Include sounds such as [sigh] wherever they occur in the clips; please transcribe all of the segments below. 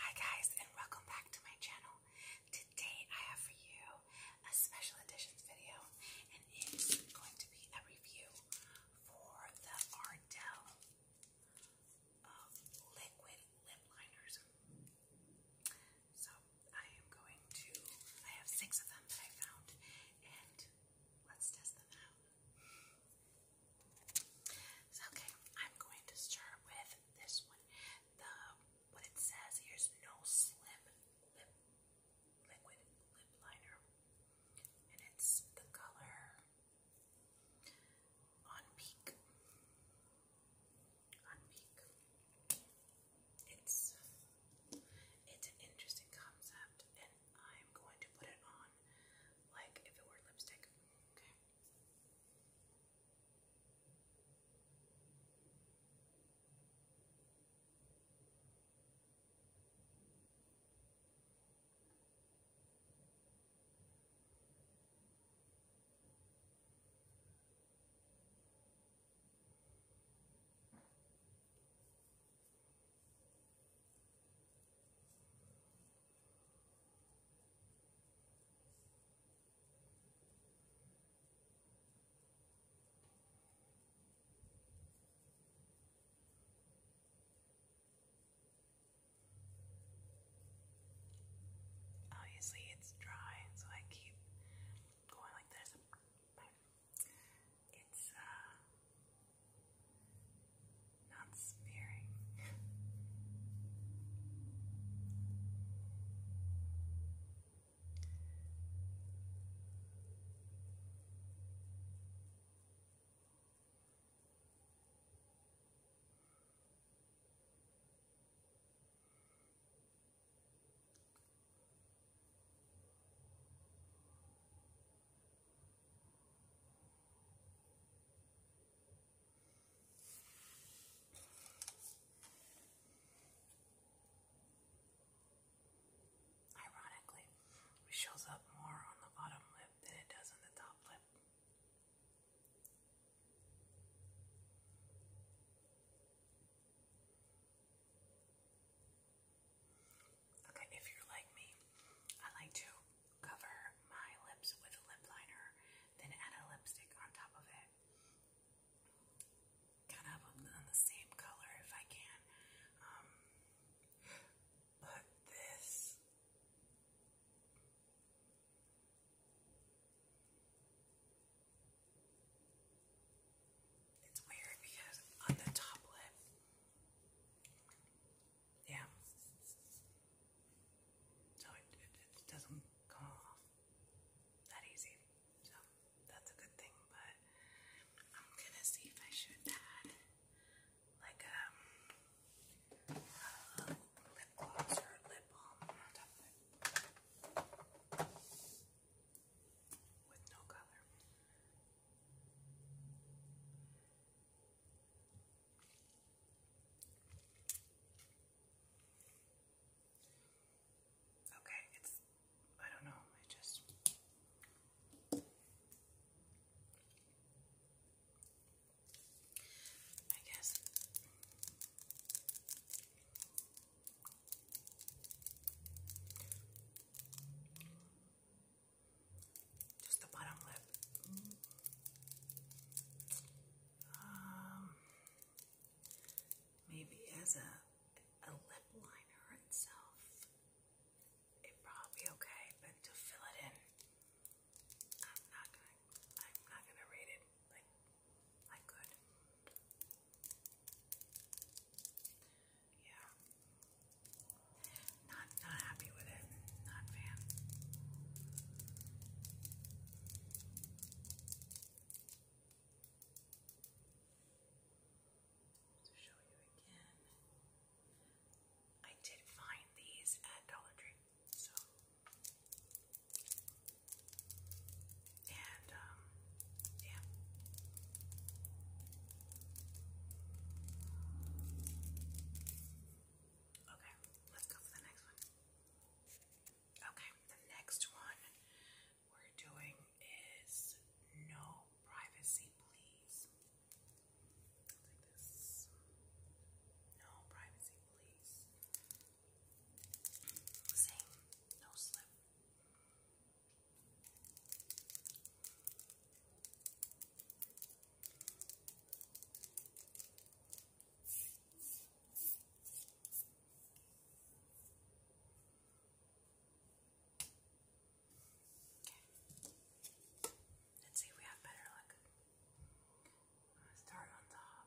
Hi guys and welcome back to my channel. Today I have for you a special editions video and it is going to be a review for the Ardell um, liquid lip liners. So I am going to, I have six of them that I found and let's test them out okay, I'm going to start with this one. what it says here is no slim liquid lip liner, and it's the color on peak. On peak. It's it's an interesting concept, and I'm going to put it on on like if it were lipstick. Okay. Okay. Obviously, it's dry, so I keep going like this. It's uh, not smearing. Ironically, it shows up more on the bottom lip than it does on the top lip. Okay, if you're like me, I like to cover my lips with a lip liner, then add a lipstick on top of it. Kind of on the same color if I can. Um, this. It's weird because on the top lip, yeah. So it, doesn't come that easy. So that's a good thing, but I'm gonna see if I should add like um, lip gloss or lip balm With no color. Okay, it's I don't know, I just I guess just the bottom lip. Um, maybe as a, a lip liner itself, it'd probably be okay, but to fill it in, I'm not gonna, I'm not gonna rate it like I could. Yeah, not not happy with it. Not fan. To show you again, I did find these at Dollar Tree, so and um, yeah. Okay, let's go for the next one. Okay, the next one we're doing is no privacy, please. Like this. No privacy, please. Same, no slip. Let's see if we have better luck. I'm gonna start on top.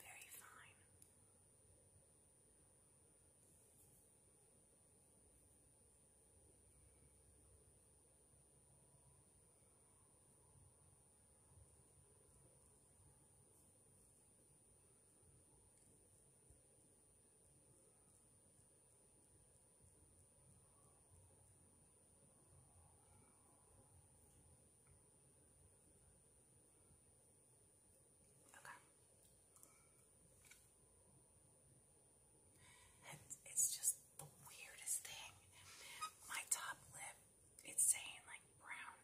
Very fine. Okay. It's, it's just the weirdest thing. My top lip, it's saying like brown.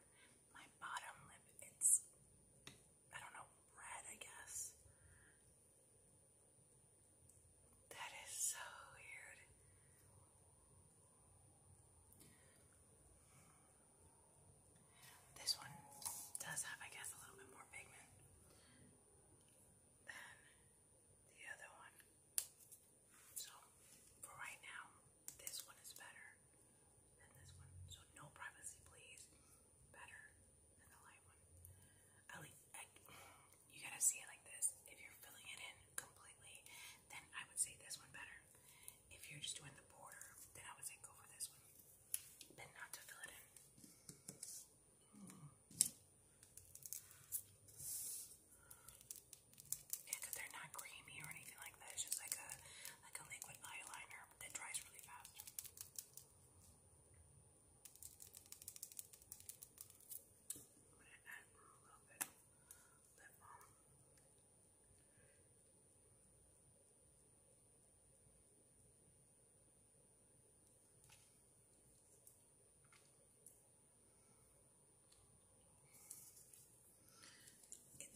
My bottom lip, it's, I don't know, red, I guess. That is so weird. This one does have, I guess, a little bit more pigment than the other one. So, for right now, this one is better than this one. So, no privacy, please. Better than the light one. At least, you gotta see it like this. If you're filling it in completely, then I would say this one better. If you're just doing the border, then I would say go for this one, but not to fill it in. Mm. they're not creamy or anything like that. It's just like a like a liquid eyeliner that dries really fast. I'm gonna add a little bit lip balm.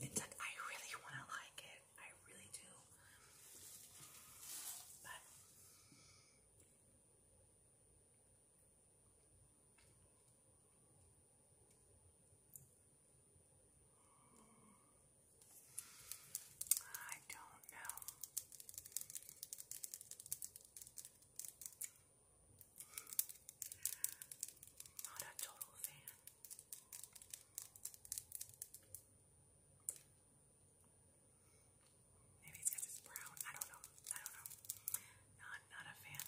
It, it's like I really want to like it. I really do. But I don't know. Not a total fan. Maybe it's because brown. I don't know. I don't know. No, I'm not a fan.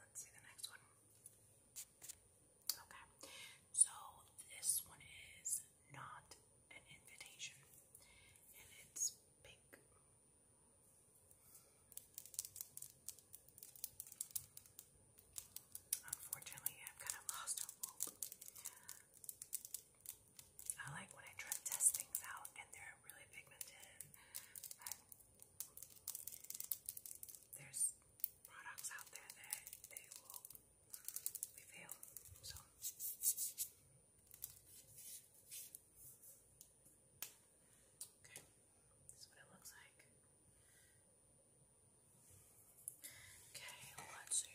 Let's see the next one. Okay, so this one is not an invitation, and it's pink. Unfortunately, I've kind of lost hope. I like when I try to test things out and they're really pigmented. But there's products out there that they will reveal. So. Okay, this what it looks like. Okay, let's see.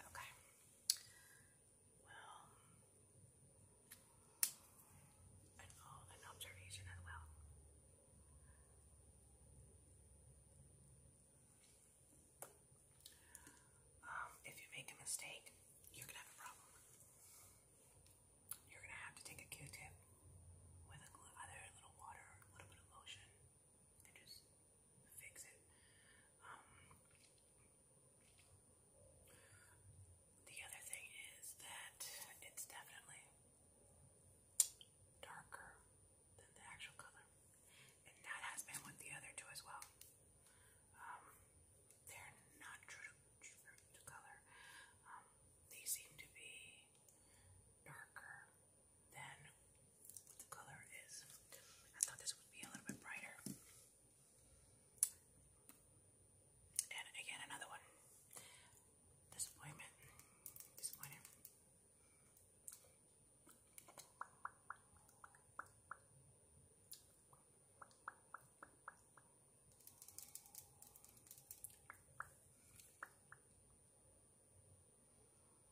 Okay. Well, an observation as well. Um, if you make a mistake, you're gonna have a problem. You're gonna have to take a Q-tip with a, little water, a little bit of lotion, just fix it. Um, the other thing is that it's definitely darker than the actual color, and that has been with the other two as well. Um, they're not true to color. Um, they seem to be darker than the color is. I thought this would be a little bit brighter. And again, another one. Disappointment. Disappointing.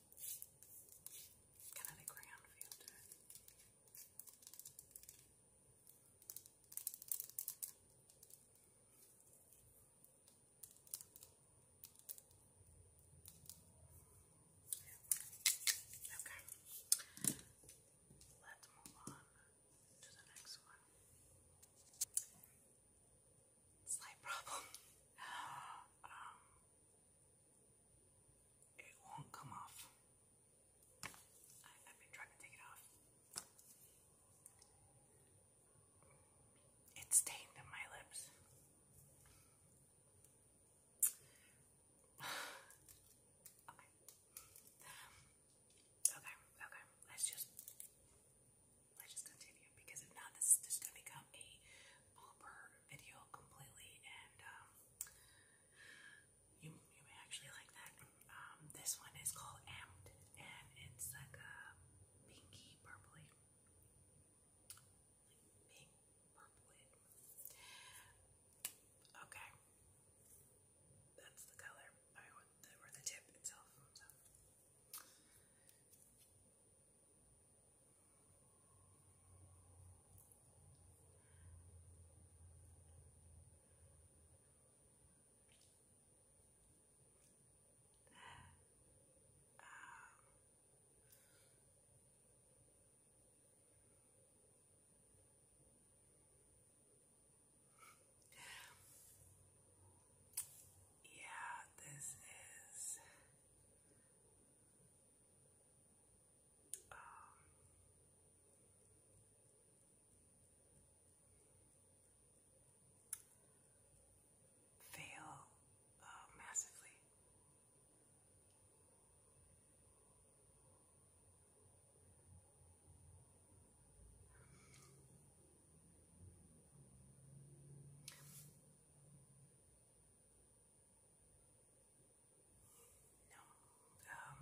Kind of Okay. Let's move on to the next one. Slight problem. [gasps] um, it won't come off. I, have been trying to take it off. It's stained in my lips. okay. [sighs] Okay, okay. Let's just let's just continue because if not, this is just gonna become a blooper video completely, and um, you you may actually like that. Um, this one is called Amped, and it's like a pinky purpley, like pink purpley. Okay, that's the color. I want the, or the tip itself. Yeah, this is um, fail uh, massively. No. Um,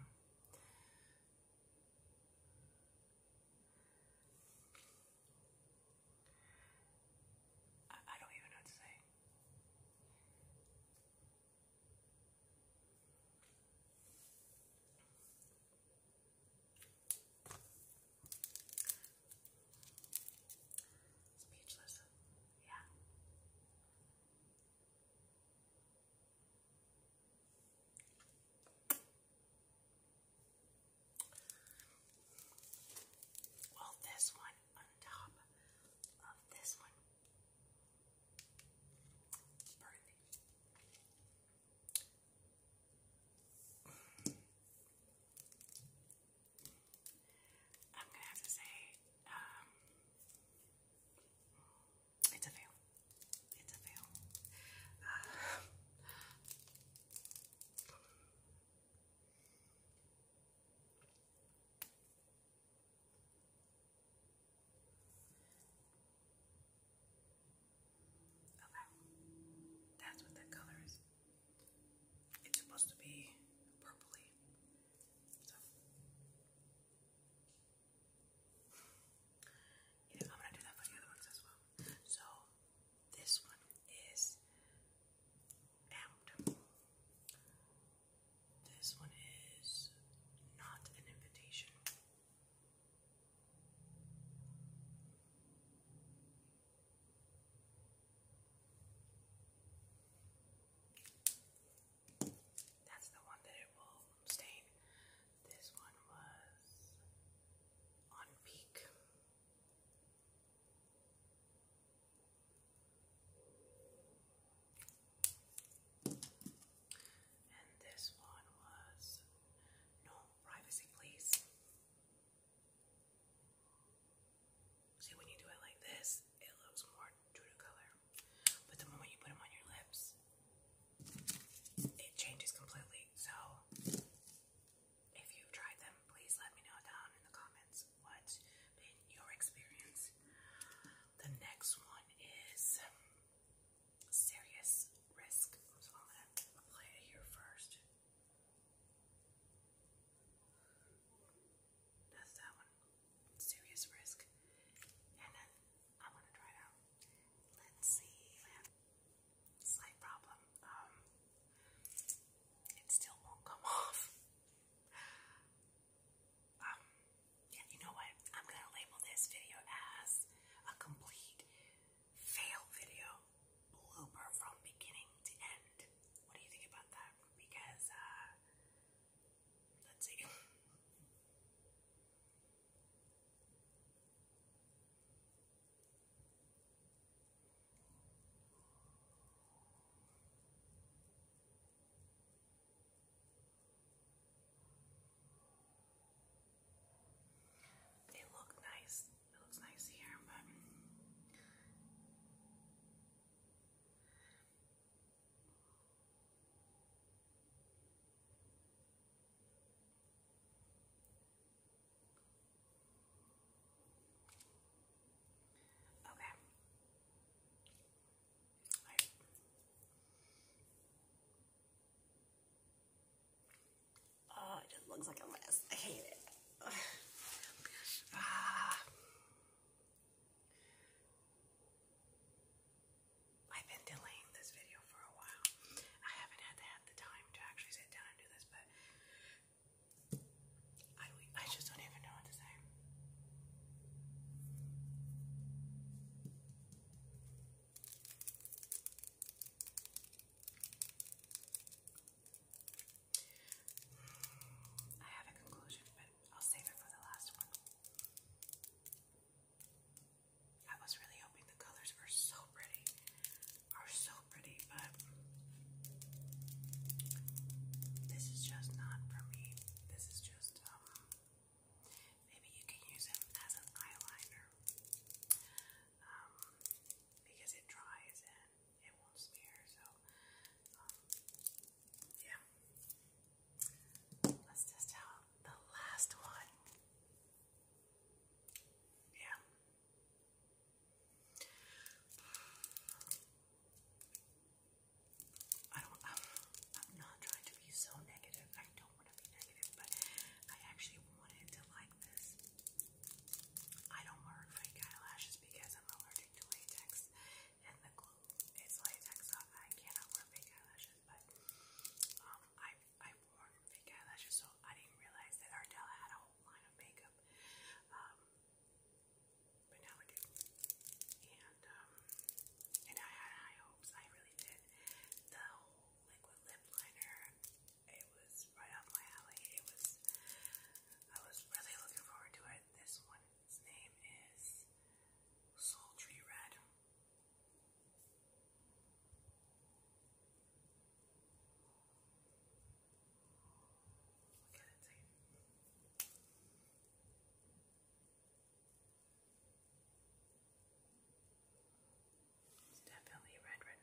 I, don't even know what to say. Speechless. Yeah. Well, this one on top of this one. Burning. I'm gonna have to say, um, it's a fail. It's a fail. [sighs] Okay, that's what that color is. It's supposed to be purpley you I'm gonna do that for the other ones as well. So this one is amped. This one is not an invitation. That's the one that it will stain. This one was on peak. And this one was no privacy, please. See, when you do it like this, it looks more true to color. But the moment you put them on your lips, it changes completely. So, if you've tried them, please let me know down in the comments what's been your experience. The next one is Serious Risk. I'm going to apply it here first. That's that one. Serious risk. And then I want to try it out. Let's see. Slight problem. Um, it still won't come [laughs] off. Um, yeah, you know what? I'm gonna label this video as a complete fail video, blooper from beginning to end. What do you think about that? Because uh, Let's see. They look nice. It looks nice here, but Okay. Right. Oh, it just looks like a mess. I hate it. [sighs] Ah. I've been delaying this video for a while. I haven't had the time to actually sit down and do this, but I just don't even know what to say. I have a conclusion, but I'll save it for the last one. I was really hoping the colors were so pretty, are so pretty, but this is just not for me. This is just, um, maybe you can use it as an eyeliner, um, because it dries and it won't smear, so, um, yeah. Let's test out the last one. Yeah. I don't. I'm not trying to be so negative. I don't want to be negative, but I actually wanted to like this. I don't wear fake eyelashes because I'm allergic to latex, and the glue is latex, I cannot wear fake eyelashes. But um, I I worn fake eyelashes, so I didn't realize that Ardell had a whole line of makeup. Um, but now I do, and um, and I had high hopes. I really did. The whole liquid lip liner, it was right up my alley. It was. I was really looking forward to it. This one his name is Sultry Red. Look at it, see? It's definitely red red.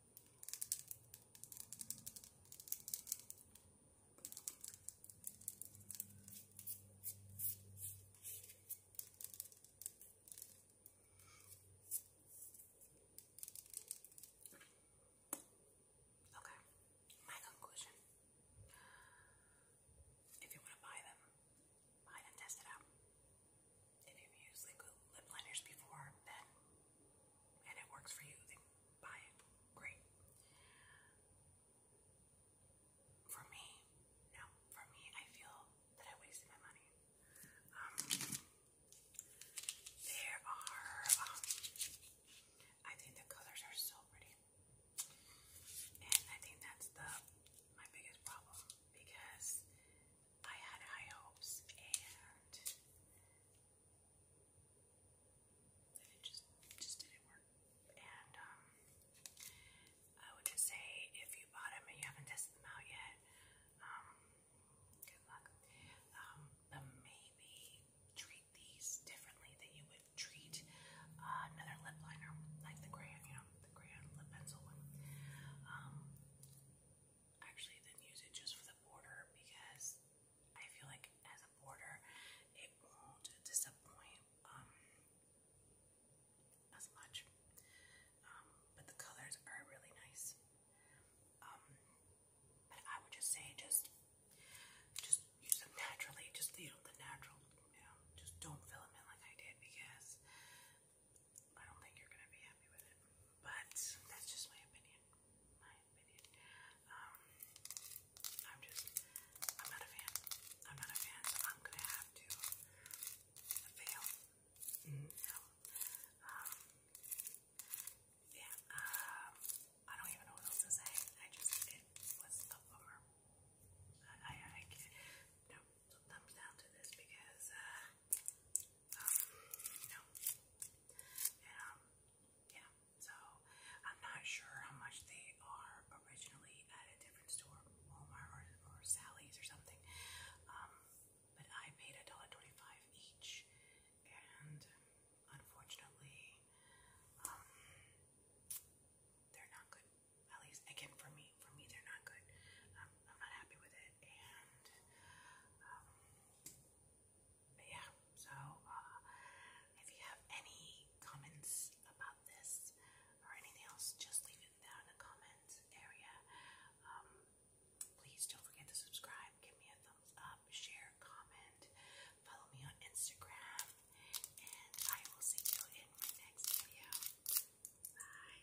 Okay, my conclusion. If you want to buy them, buy them, test it out. If you've used liquid lip liners before, then and it works for you, then buy it. Great. For me, no. For me, I feel that I wasted my money. Um, there are, um, I think the colors are so pretty. And I think that's the my biggest problem because I had high hopes and and it just just didn't work. And um, I would just say if you bought them and you haven't tested them out yet, um, good luck. Um, maybe treat these differently than you would treat uh, another lip liner, like the crayon, you know, the crayon lip pencil one. actually, then use it just for the border because I feel like as a border, it won't disappoint um, as much. Um, but the colors are really nice. Um, but I would just say just just use them naturally, just you know, the natural, you know, just don't fill them in like I did because I don't think you're gonna be happy with it. But that's just my opinion opinion. Um, I'm just, I'm not a fan. I'm not a fan, I'm gonna have to fail. No. Mm-hmm. Um, yeah, um, I don't even know what else to say. I just, it was a bummer. I, I, can't, no, thumbs down to this because, uh, um, no. And, um, yeah, so I'm not sure how much they are originally at a different store, Walmart or, or Sally's or something. Um, but I paid twenty-five each, and unfortunately, um, they're not good. At least, again, for me, for me, they're not good. I'm not happy with it, and um, but yeah, so uh, if you have any comments about this or anything else, just leave it down in the comment area. Um, please don't forget to subscribe, give me a thumbs up, share, comment, follow me on Instagram, and I will see you in my next video. Bye.